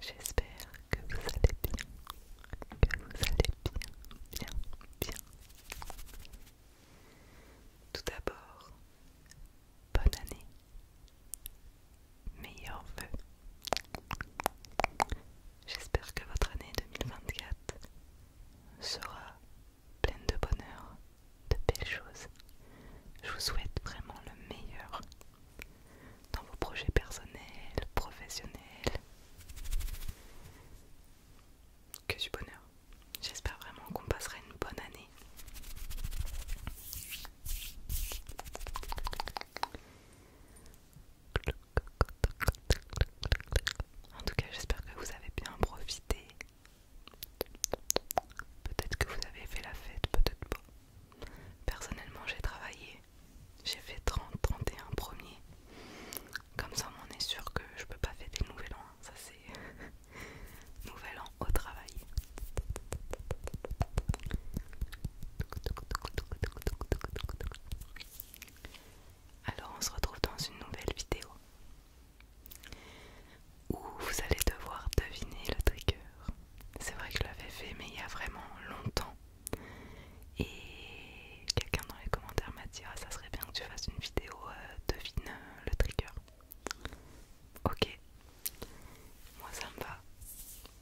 J'espère que vous allez bien, que vous allez bien, bien, bien. Tout d'abord, bonne année, meilleurs vœux. J'espère que votre année 2024 sera pleine de bonheur, de belles choses. Je vous souhaite vraiment le meilleur dans vos projets personnels, professionnels. Que du bonheur. J'espère vraiment qu'on passera une bonne année. En tout cas, j'espère que vous avez bien profité. Peut-être que vous avez fait la fête, peut-être pas. Personnellement, j'ai travaillé, j'ai fait 30, 31 premiers. Comme ça, on est sûr que je peux pas fêter le nouvel an. Hein. Ça, c'est nouvel an au travail. Alors, on se retrouve dans une nouvelle vidéo où vous allez devoir deviner le truc. C'est vrai que je l'avais fait, mais il y a vraiment longtemps. Et quelqu'un dans les commentaires m'a dit Ah, ça serait bien que tu fasses une vidéo euh, devine euh, le trigger. Ok, moi ça me va.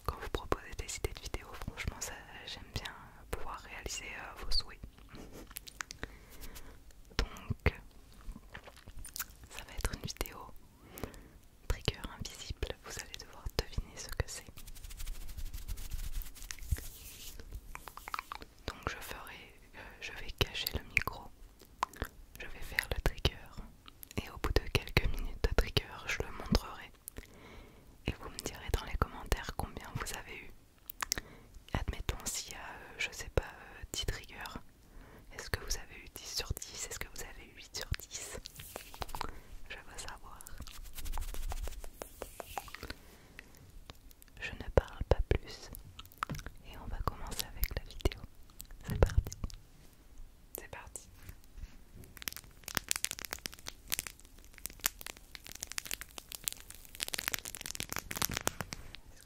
Quand vous proposez des idées de vidéos, franchement, ça j'aime bien pouvoir réaliser euh, vos souhaits. Donc, ça va être une vidéo trigger invisible, vous allez devoir deviner ce que c'est. Donc je ferai, euh, je vais cacher le micro, je vais faire le trigger et au bout de quelques minutes de trigger, je le montrerai et vous me direz dans les commentaires combien vous avez eu. Admettons s'il y a, euh, je sais pas, 10 euh, triggers, est-ce que vous avez eu 10 sur 10, est-ce que vous avez eu 8 sur 10 je veux savoir. Je ne parle pas plus. Et on va commencer avec la vidéo. C'est parti. C'est parti.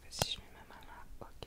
Est-ce que si je mets ma main là, ok.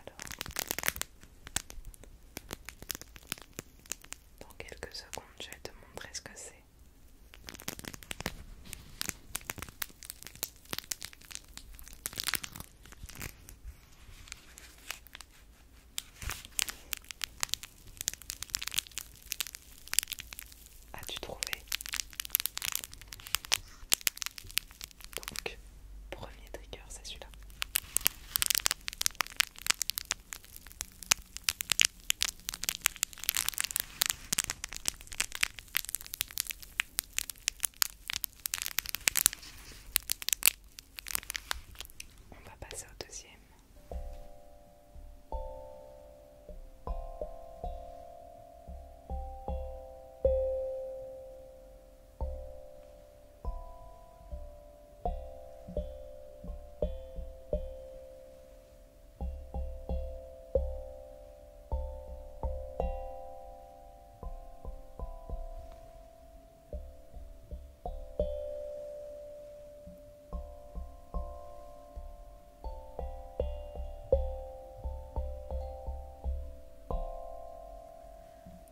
Alors, dans quelques secondes, je vais te montrer ce que c'est. As-tu trouvé Donc, premier trigger, c'est celui-là. On va passer au deuxième.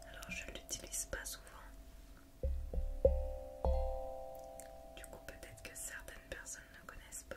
Alors je ne l'utilise pas souvent. Du coup peut-être que certaines personnes ne connaissent pas.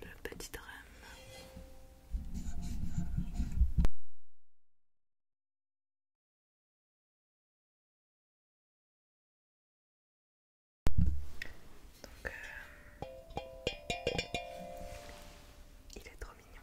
Le petit drame. Euh, il est trop mignon.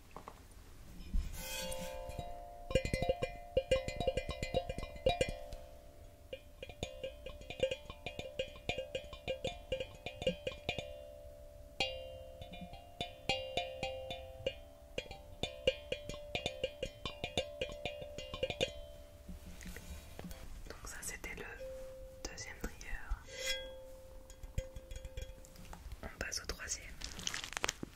Donc ça c'était le deuxième trigger. On passe au troisième.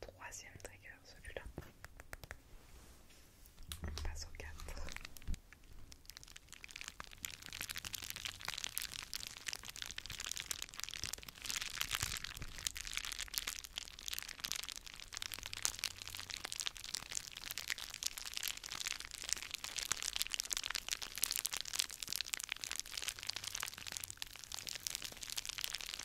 Troisième trigger, celui-là. On passe au 4.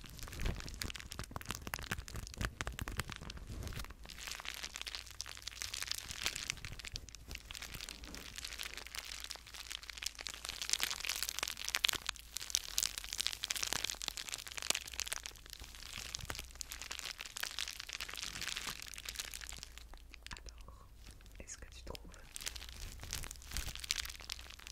Alors, est-ce que tu trouves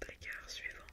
Trigger suivant.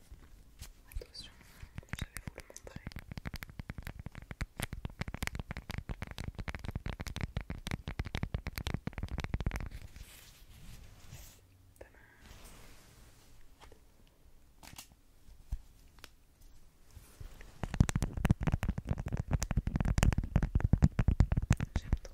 Attention, je vais vous le montrer. J'aime trop.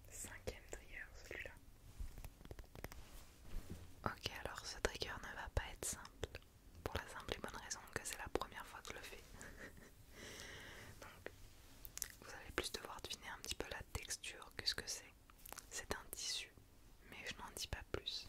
Cinquième trigger celui-là. Ok alors ce trigger ne va pas être simple. Pour la simple et bonne raison que c'est la première fois que je le fais. Donc vous allez plus devoir deviner un petit peu la texture que ce que c'est. C'est un tissu, mais je n'en dis pas plus.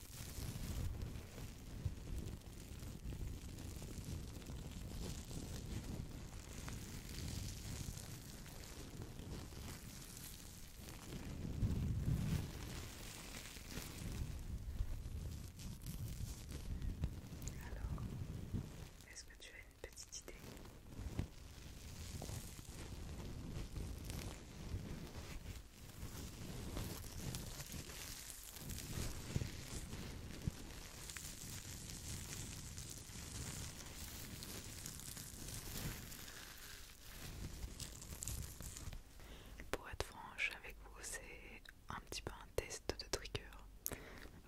Alors, est-ce que tu as une petite idée pour être franche avec vous, c'est un petit peu un test de trigger.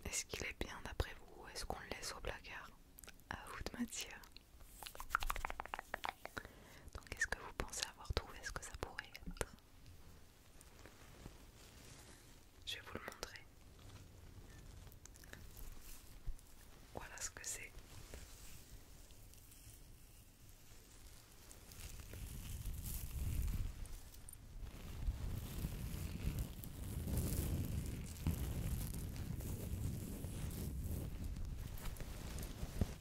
Est-ce qu'il est bien d'après vous Ou Est-ce qu'on le laisse au placard À vous de matière. Donc, est-ce que vous pensez avoir trouvé ce que ça pourrait être je vais vous le montrer. Voilà ce que c'est.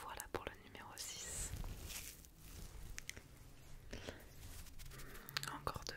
Voilà pour le numéro 6. Encore deux.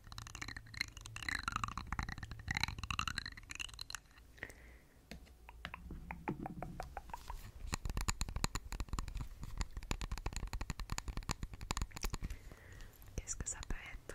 Qu'est-ce que ça peut être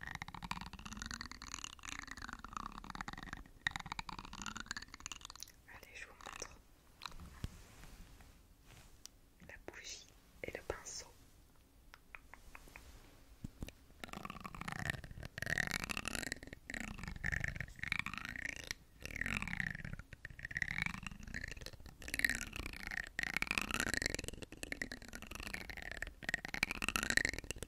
Allez, je vous montre la bougie et le pinceau.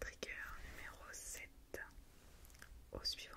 Trigger numéro 7 au suivant.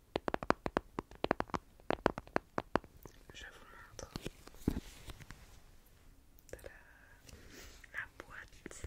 Je vous montre la boîte.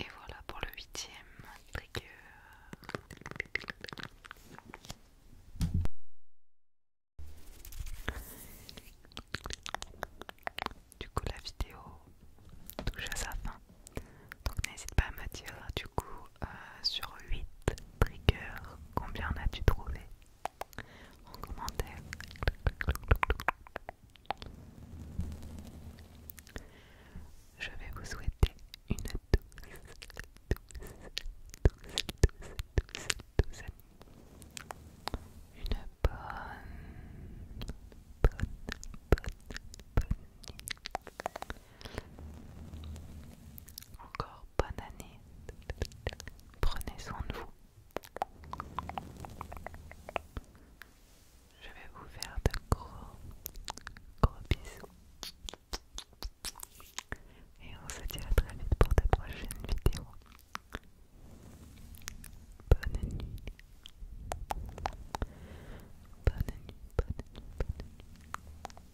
Et voilà pour le huitième trigger. Du coup la vidéo touche à sa fin. Donc n'hésite pas à me dire du coup sur 8 triggers combien as-tu trouvé en commentaire. Je vais vous souhaiter une douce, douce, douce, douce, douce, douce Une bonne, bonne, bonne, bonne nuit. Encore bonne année. Prenez soin de vous. Je vais vous faire de gros, gros bisous. Et on se dit à très vite pour de prochaine vidéo. Bonne nuit. Bonne nuit, bonne nuit, bonne nuit.